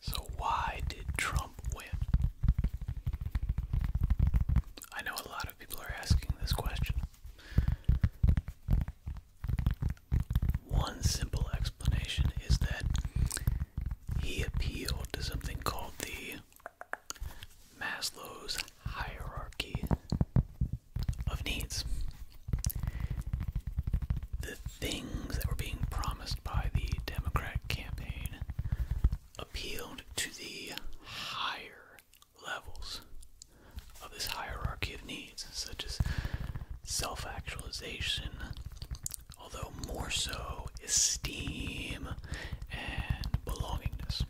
So, why did Trump win? I know a lot of people are asking this question. One simple explanation is that he appealed to something called the Maslow's hierarchy of needs the things that were being promised by the Democrat campaign appealed to the higher levels of this hierarchy of needs, such as self actualization, although more so esteem and belongingness.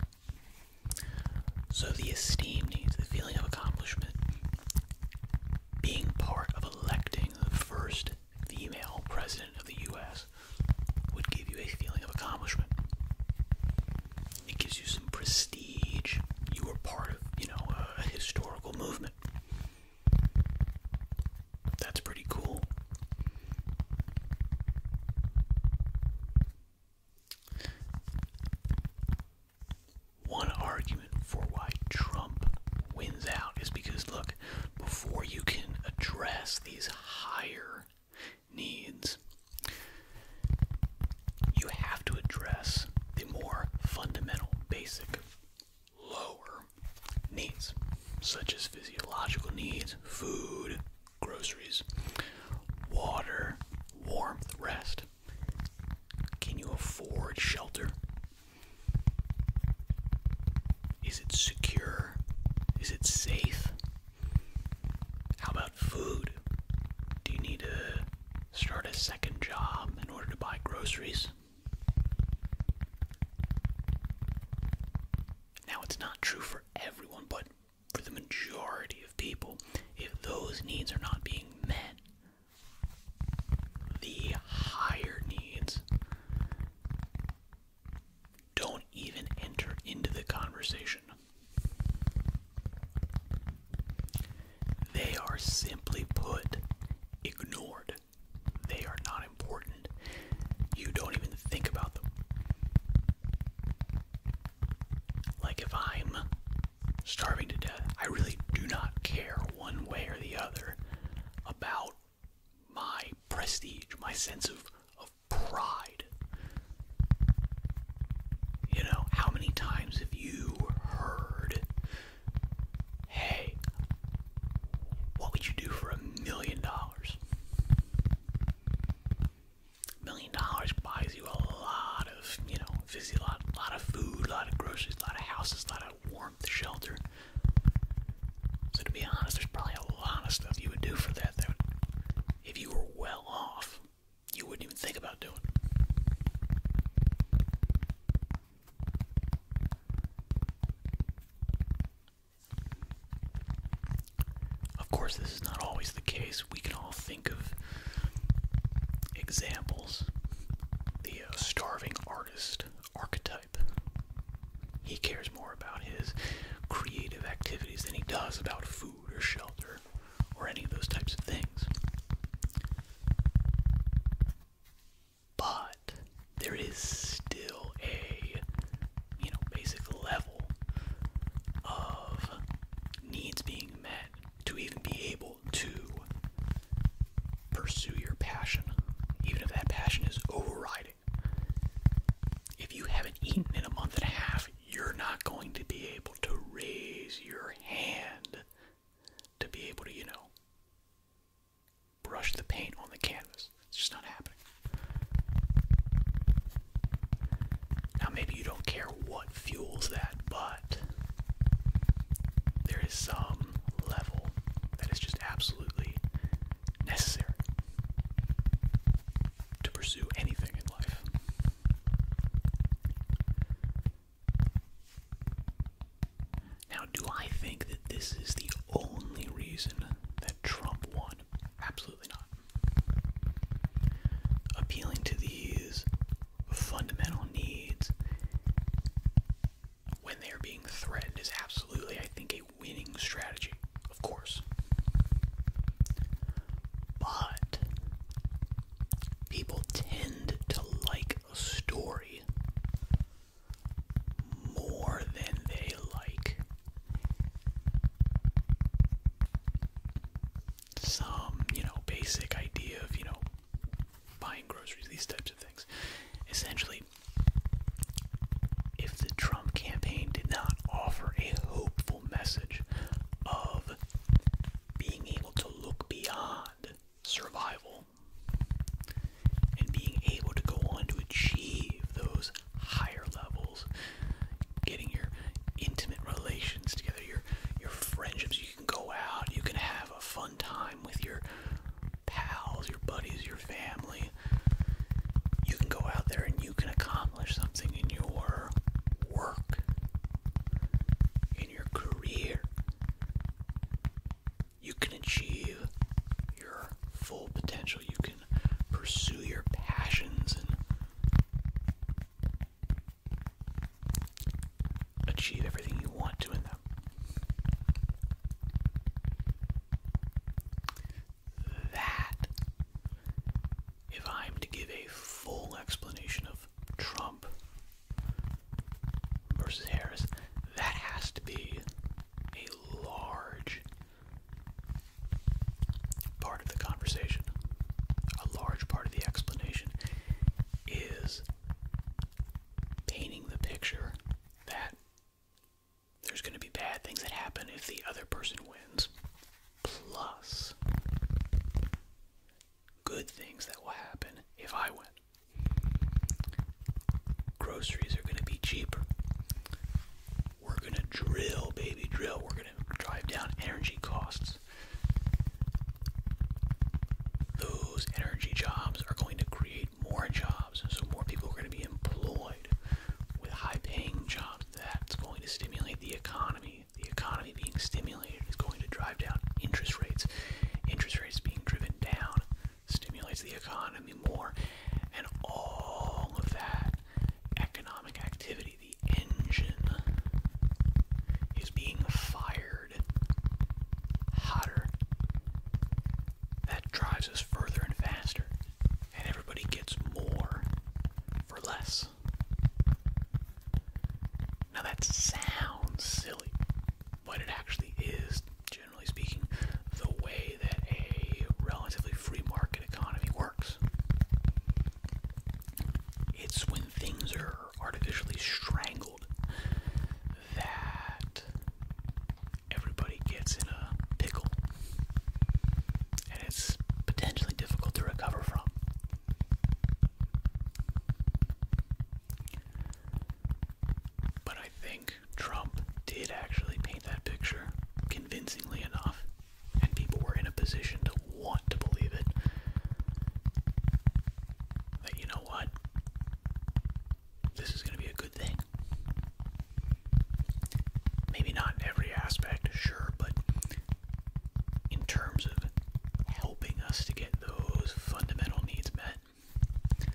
So, the esteem needs, the feeling of accomplishment, being part of electing the first female president of the US would give you a feeling of accomplishment. It gives you some prestige. You were part of, you know, a historical movement. That's pretty cool one argument for why Trump wins out is because, look, before you can address these higher needs, you have to address the more fundamental, basic, lower needs, such as physiological needs, food, groceries, water, warmth, rest. Can you afford shelter? Is it secure? Is it safe? How about food? Do you need to start a second job in order to buy groceries? Now, it's not true for everyone, but for the majority of people, if those needs are not being met, the higher needs don't even enter into the conversation. They are simply put ignored. They are not important. You don't even think about them. Like if I'm starving to death. I really do not care one way or the other about my prestige, my sense of, of pride. You know, how many times have you heard, hey, what would you do for a million dollars? million dollars buys you a lot you know, visit a lot, lot of food, lot of groceries, lot of houses, lot of warmth, shelter. So to be honest, there's probably a lot of stuff you would do for that that if you were well off, you wouldn't even think about doing. Of course, this is not always the case. We can all think of Examples the uh, starving artist archetype. He cares more about his creative activities than he does about food or shelter or any of those types of things. But there is still a, you know, basic level of needs being met to even be able to pursue your passion, even if that passion is overriding. If you haven't eaten in a month and a half, you're not going to be able to raise your hand to be able to, you know, brush the paint on the canvas. It's just not happening. Now, maybe you don't care what fuels that, but but there is some level that is just absolutely necessary to pursue anything in life. Now, do I think that this is the only reason that Trump won? Absolutely not. Appealing to these fundamental needs when they are being threatened is absolutely, I think, a winning strategy, of course. But people tend to like a story more than they like some, you know, basic idea of, you know, buying groceries, these types of things. Essentially, if the Trump campaign did not offer a hopeful message of being able to look beyond survival and being able to go on to achieve those higher levels, getting your intimate relations together, your your friendships, you can go out, you can have a fun time with your pals, your buddies, your family. You can go out there and you can accomplish something in your work, in your career. You can achieve your full potential. You can pursue your passions and achieve everything you want to in them. That, if I'm to give a full explanation of Trump versus Harris, that has to be a large part of the conversation, a large part of the explanation is painting the picture that there's going to be bad things that happen if the other person wins, plus good things that will happen if I win. Groceries are going to be cheaper. We're going to drill, baby, drill. We're going to drive down energy costs. Those energy jobs are going to create more jobs, so more people are going to be employed with high paying jobs. That's going to stimulate the economy. The economy being stimulated is going to drive down interest rates. Interest rates being driven down stimulates the economy more, and all of that economic activity the engine is being fired hotter. That drives us further and faster, and everybody gets more for less. Now that sounds silly, but it actually is, generally speaking, the way that a relatively free market economy works. It's when things are artificially strangled that everybody gets in a pickle. And it's potentially difficult to recover from. But I think Trump did actually paint that picture convincingly enough and people were in a position to want to believe it, that you know what? This is going to be a good thing. Maybe not in every aspect, sure, but in terms of helping us to get those fundamental needs met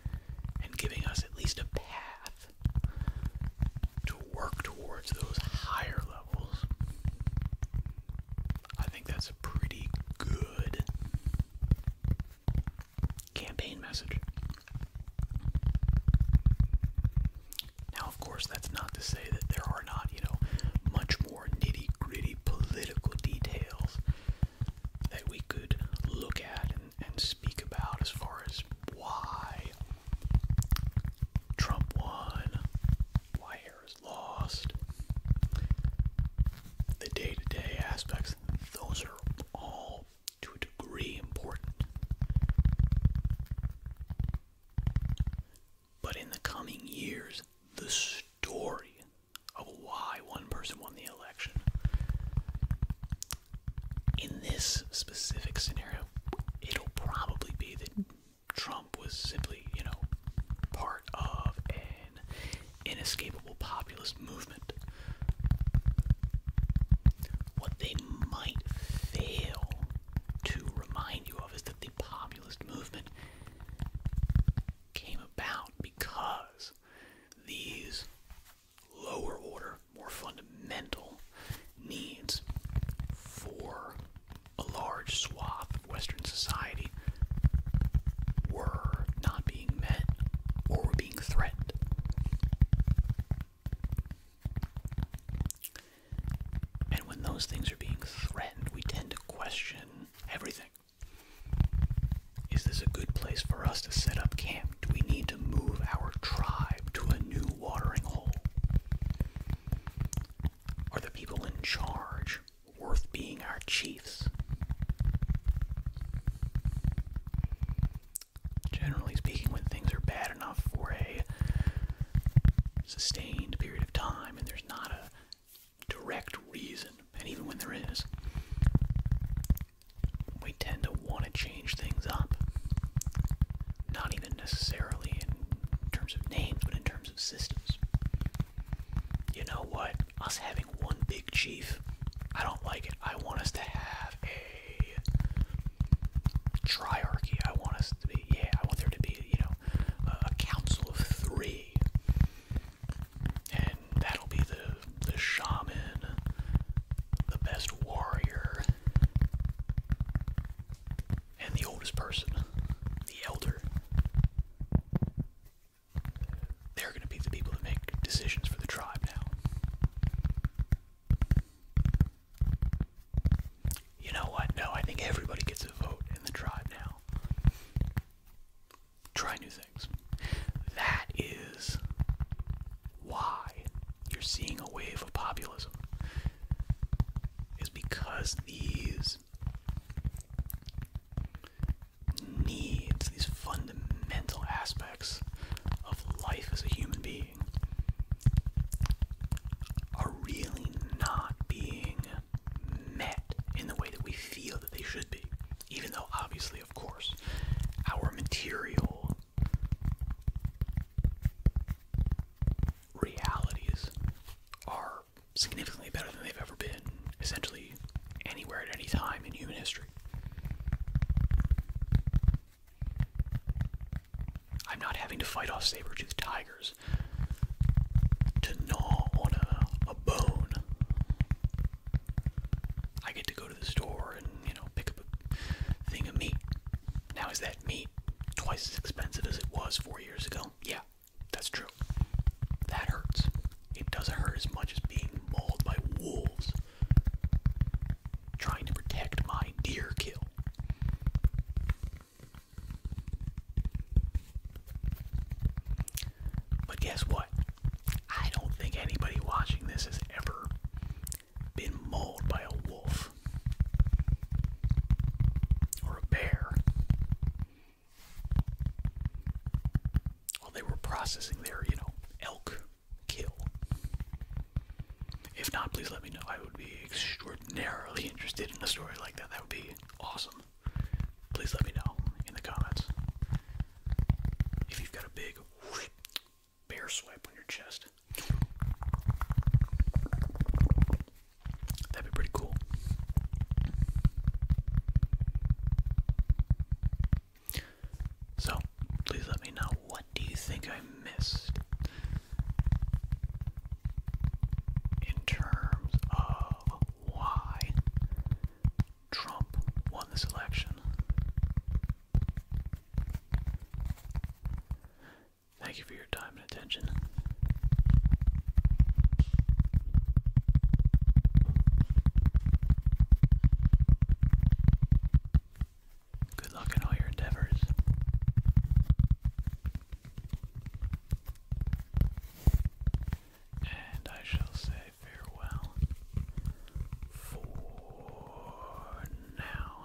and giving us at least a path to work towards those higher levels, I think that's a pretty good campaign message. Now, of course, that's not to say that there are not, you know, much more nitty gritty political details that we could look at and, and speak about as far as why Trump won, why Harris lost, the day to day aspects, those are all to a degree important. But in the coming years, the story of why one person won the election in this specific scenario, it'll probably be that Trump was simply, you know, part of an inescapable populist movement. What they might fail to remind you of is that the populist movement came about because these lower order, more fundamental needs for a large swath of Western society were not being met or were being threatened. And when those things are being threatened, we tend to question everything. Is this a good place for us to set up camp? Do we need to move our tribe to a new watering hole? Are the people in charge worth being our chiefs? Generally speaking, when things are bad enough for a sustained period of time and there's not a direct reason, and even when there is, we tend to want to change things up. Not even necessarily in terms of names, but in terms of systems. You know what? Us having one big chief, I don't like it. I want us to have a triarchy. I want us to be, yeah, I want there to be, you know, a council of three. And that'll be the, the shaman, the best warrior, and the oldest person, the elder, they're going to be the people that make decisions for the tribe now. You know what? No, I think everybody gets a vote in the tribe now. Try new things. That is why you're seeing a wave of populism is because these needs, these fundamental aspects of life as a human being, are really not being met in the way that we feel that they should be. Even though, obviously, of course, our material realities are significantly better than they've ever been, essentially anywhere at any time in human history. I'm not having to fight off saber-toothed tigers to gnaw on a, bone. I get to go to the store and, you know, pick up a thing of meat. Now, is that me, twice as expensive as it was four years ago. Yeah, that's true. That hurts. It doesn't hurt as much as being mauled by wolves. Trying to protect my deer kill. But guess what? I don't think anybody watching this has ever been mauled by a wolf or a bear while they were processing their, you know, elk kill. If not, please let me know. I would be extraordinarily interested in a story like that. That would be awesome. Please let me know in the comments if you've got a big bear swipe on your chest. That'd be pretty cool. So, please let me know what do you think I missed in terms of why Trump won this election. Thank you for your time and attention. Good luck in all your endeavors. And I shall say farewell for now.